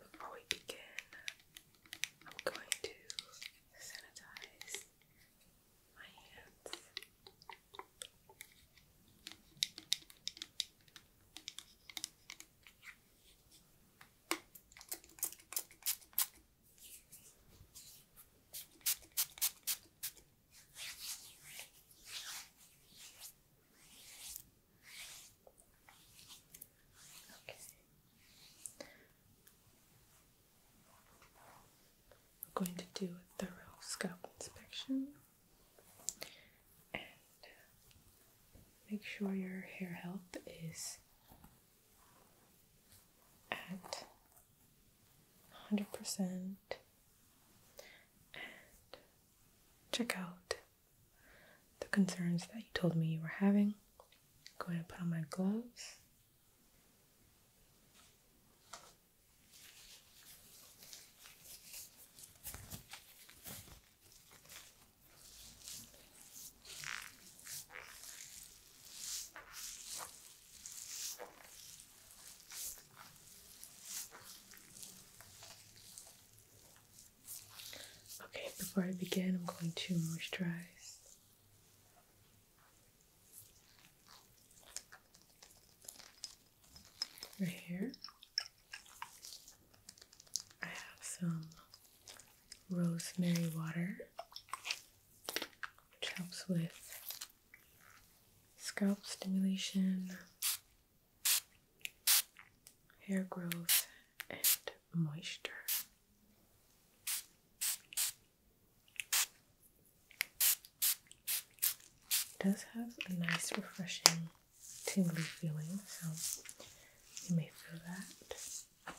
Before we begin, I'm going to sanitize my hands. We're going to do a thorough scalp inspection and make sure your hair health is at 100%. And check out the concerns that you told me you were having. Go ahead and put on my gloves. Okay, before I begin, I'm going to moisturize. Right here, I have some rosemary water, which helps with scalp stimulation, hair growth, and moisture. does have a nice, refreshing, tingly feeling, so you may feel that.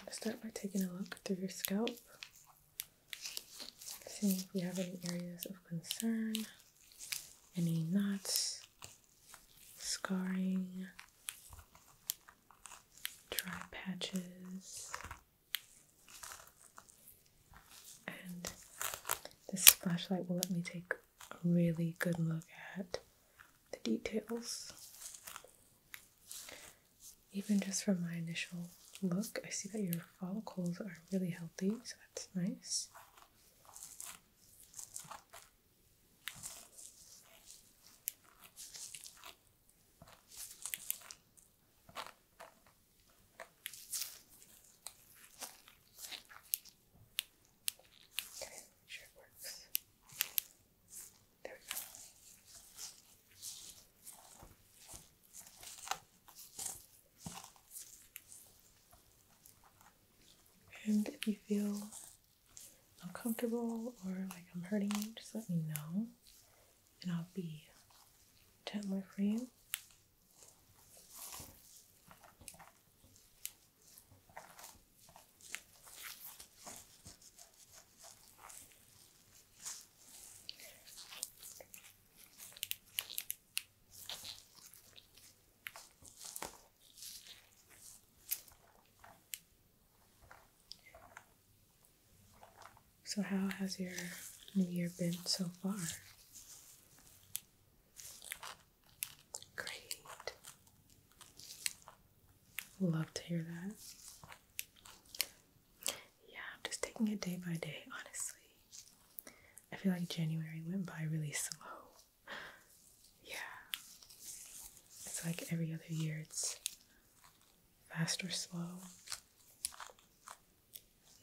I'm going to start by taking a look through your scope. See if we have any areas of concern, any knots, scarring, dry patches, and this flashlight will let me take a really good look at the details even just from my initial look, I see that your follicles are really healthy, so that's nice. Okay, sure it works. There we go. And if you feel uncomfortable or like I'm hurting you, just let me know and I'll be gentler for you. So, how has your new year been so far? Great. Love to hear that. Yeah, I'm just taking it day by day, honestly. I feel like January went by really slow. Yeah. It's like every other year it's fast or slow.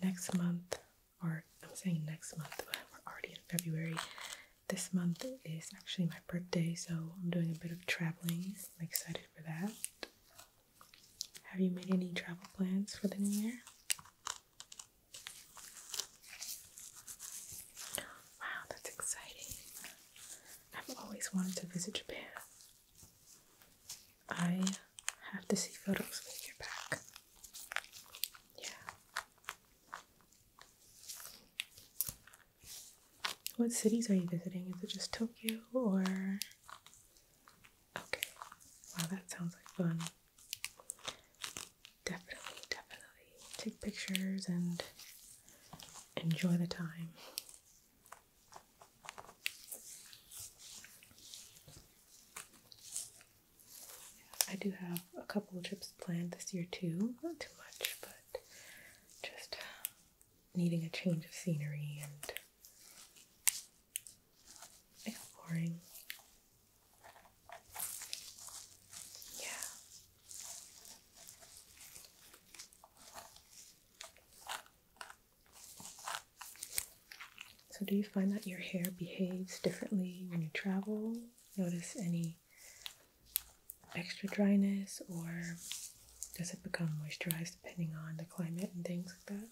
Next month, or I'm saying next month, but we're already in February. This month is actually my birthday, so I'm doing a bit of traveling. I'm excited for that. Have you made any travel plans for the new year? Wow, that's exciting. I've always wanted to visit Japan. I have to see photos when you get back. Yeah. What cities are you visiting? Is it just Tokyo or Okay. Wow, that sounds like fun. Definitely, definitely take pictures and enjoy the time. I do have a couple trips planned this year too. Not too much, but just needing a change of scenery and exploring. Yeah. So, do you find that your hair behaves differently when you travel? Notice any extra dryness or does it become moisturized depending on the climate and things like that?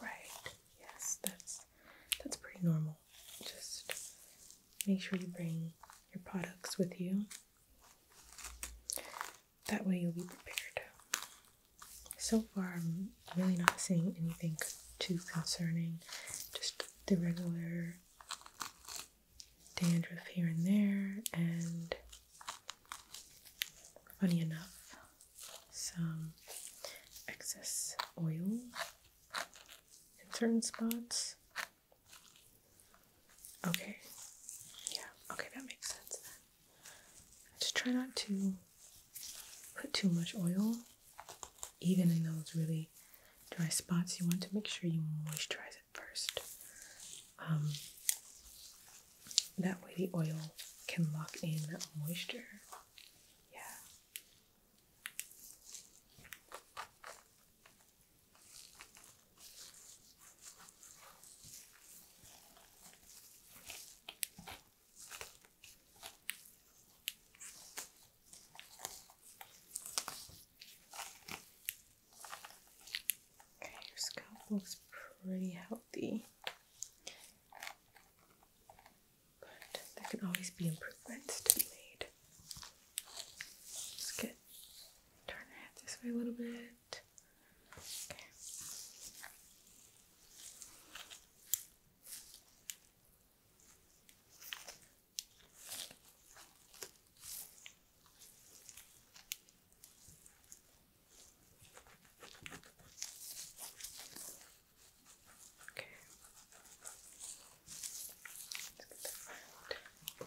Right, yes, that's that's pretty normal. Just make sure you bring your products with you. That way you'll be prepared. So far, I'm really not seeing anything too concerning. Just the regular dandruff here and there, and funny enough, some excess oil in certain spots. Okay, yeah, okay, that makes sense then. Just try not to put too much oil even in those really dry spots, you want to make sure you moisturize it first. Um, that way, the oil can lock in moisture. Yeah. Okay, your scalp looks pretty healthy. But there can always be improvements to be made. Just get turn your head this way a little bit. Okay. Okay. Let's get the front. Okay.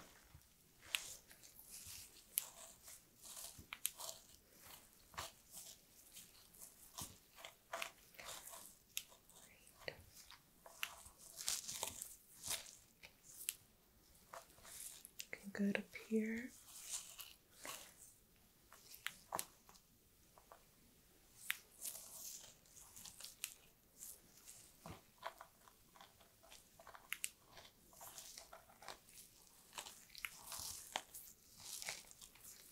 Right. You up here.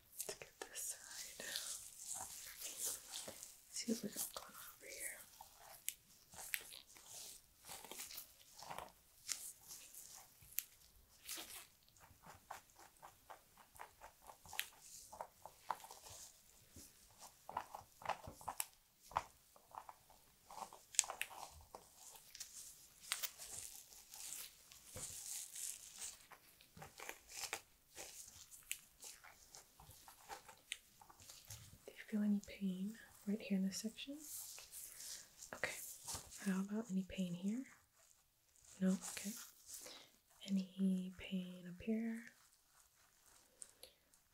Let's get this side. See if we got going on over here. Do you feel any pain right here in this section? Okay. How about any pain here? No? Okay. Any pain up here?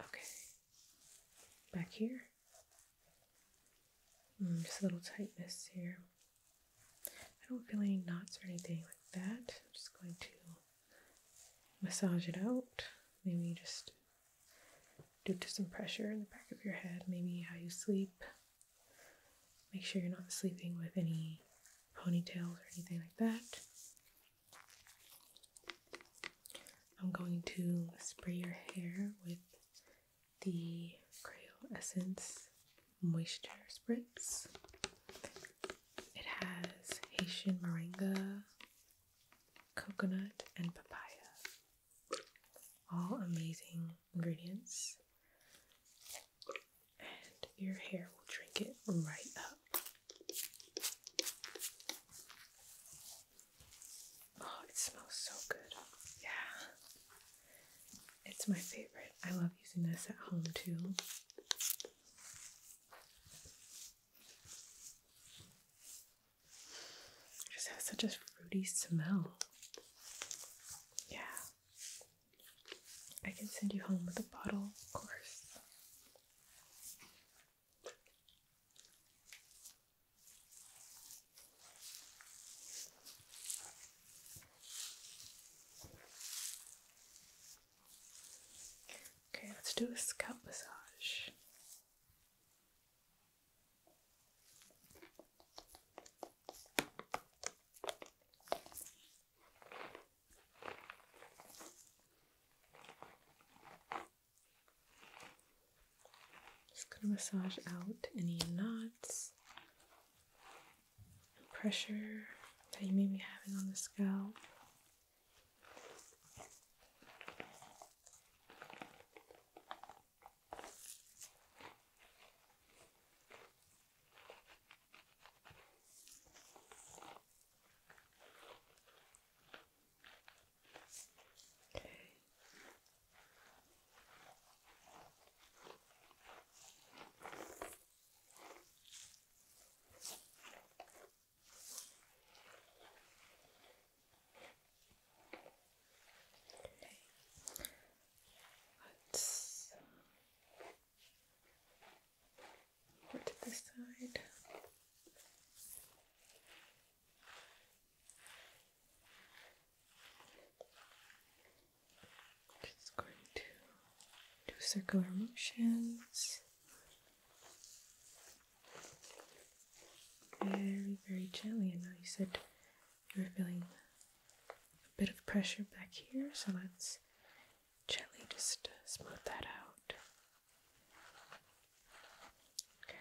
Okay. Back here? Hmm, just a little tightness here. I don't feel any knots or anything like that. I'm just going to massage it out. Maybe just due to some pressure in the back of your head, maybe how you sleep. Make sure you're not sleeping with any ponytails or anything like that. I'm going to spray your hair with the Creole Essence moisture spritz. It has Haitian moringa, coconut, and papaya. All amazing ingredients. And your hair will drink it right up. Oh, it smells so good. Yeah. It's my favorite. I love using this at home too. It just has such a fruity smell. Yeah. I can send you home with a bottle, of course. Okay, let's do a scalp massage. Just gonna massage out any knots pressure that you may be having on the scalp. Okay. Okay. Let's put um, to this side. Okay. Just going to do circular motions. Very, very gently. And now you said you were feeling a bit of pressure back here, so let's gently just uh, smooth that out. Okay.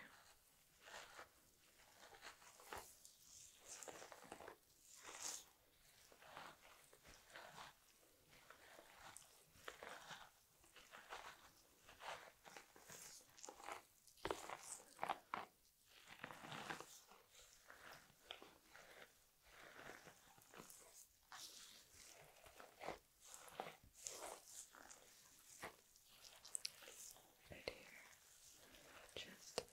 Right here, just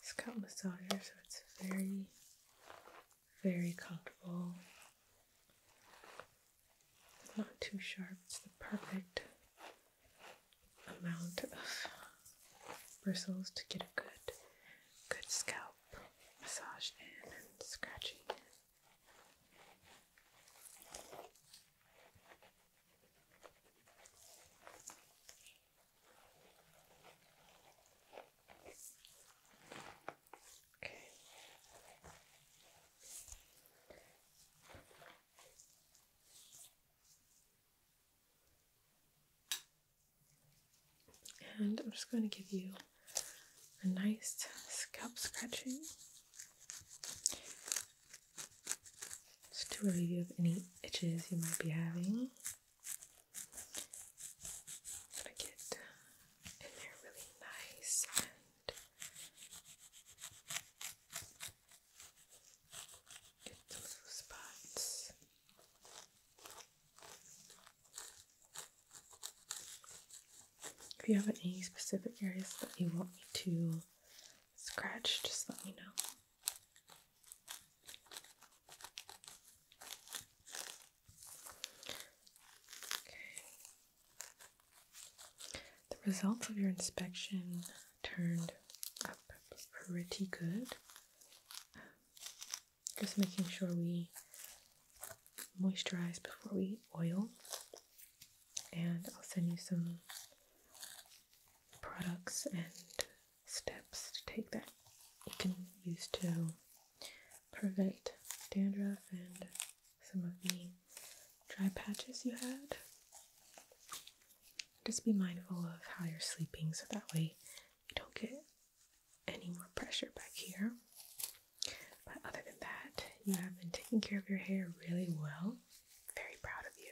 scalp massager, so it's very, very comfortable. not too sharp, it's the perfect amount of bristles to get a good, good scalp massage in and scratching. And I'm just going to give you a nice scalp scratching just to relieve any itches you might be having gonna get in there really nice and get the spots. If you have any specific areas that you want me to scratch, just let me know. The results of your inspection turned up pretty good. Just making sure we moisturize before we oil. And I'll send you some products and steps to take that you can use to prevent dandruff and some of the dry patches you had. Just be mindful of how you're sleeping so that way you don't get any more pressure back here. But other than that, you have been taking care of your hair really well. Very proud of you.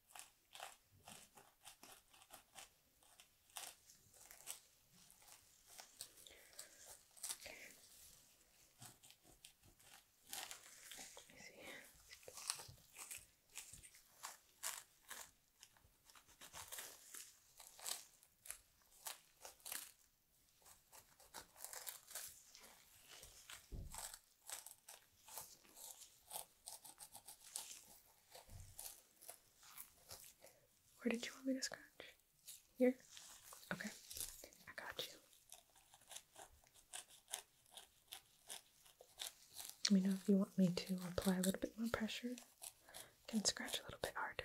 Okay. Let me see. Where did you want me to scratch? Here? Okay, I got you. Let me know if you want me to apply a little bit more pressure. can scratch a little bit harder.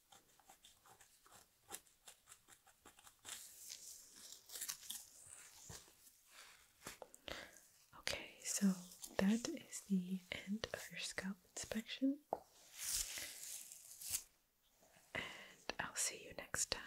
Okay, so that is the end of your scalp inspection. And I'll see you next time.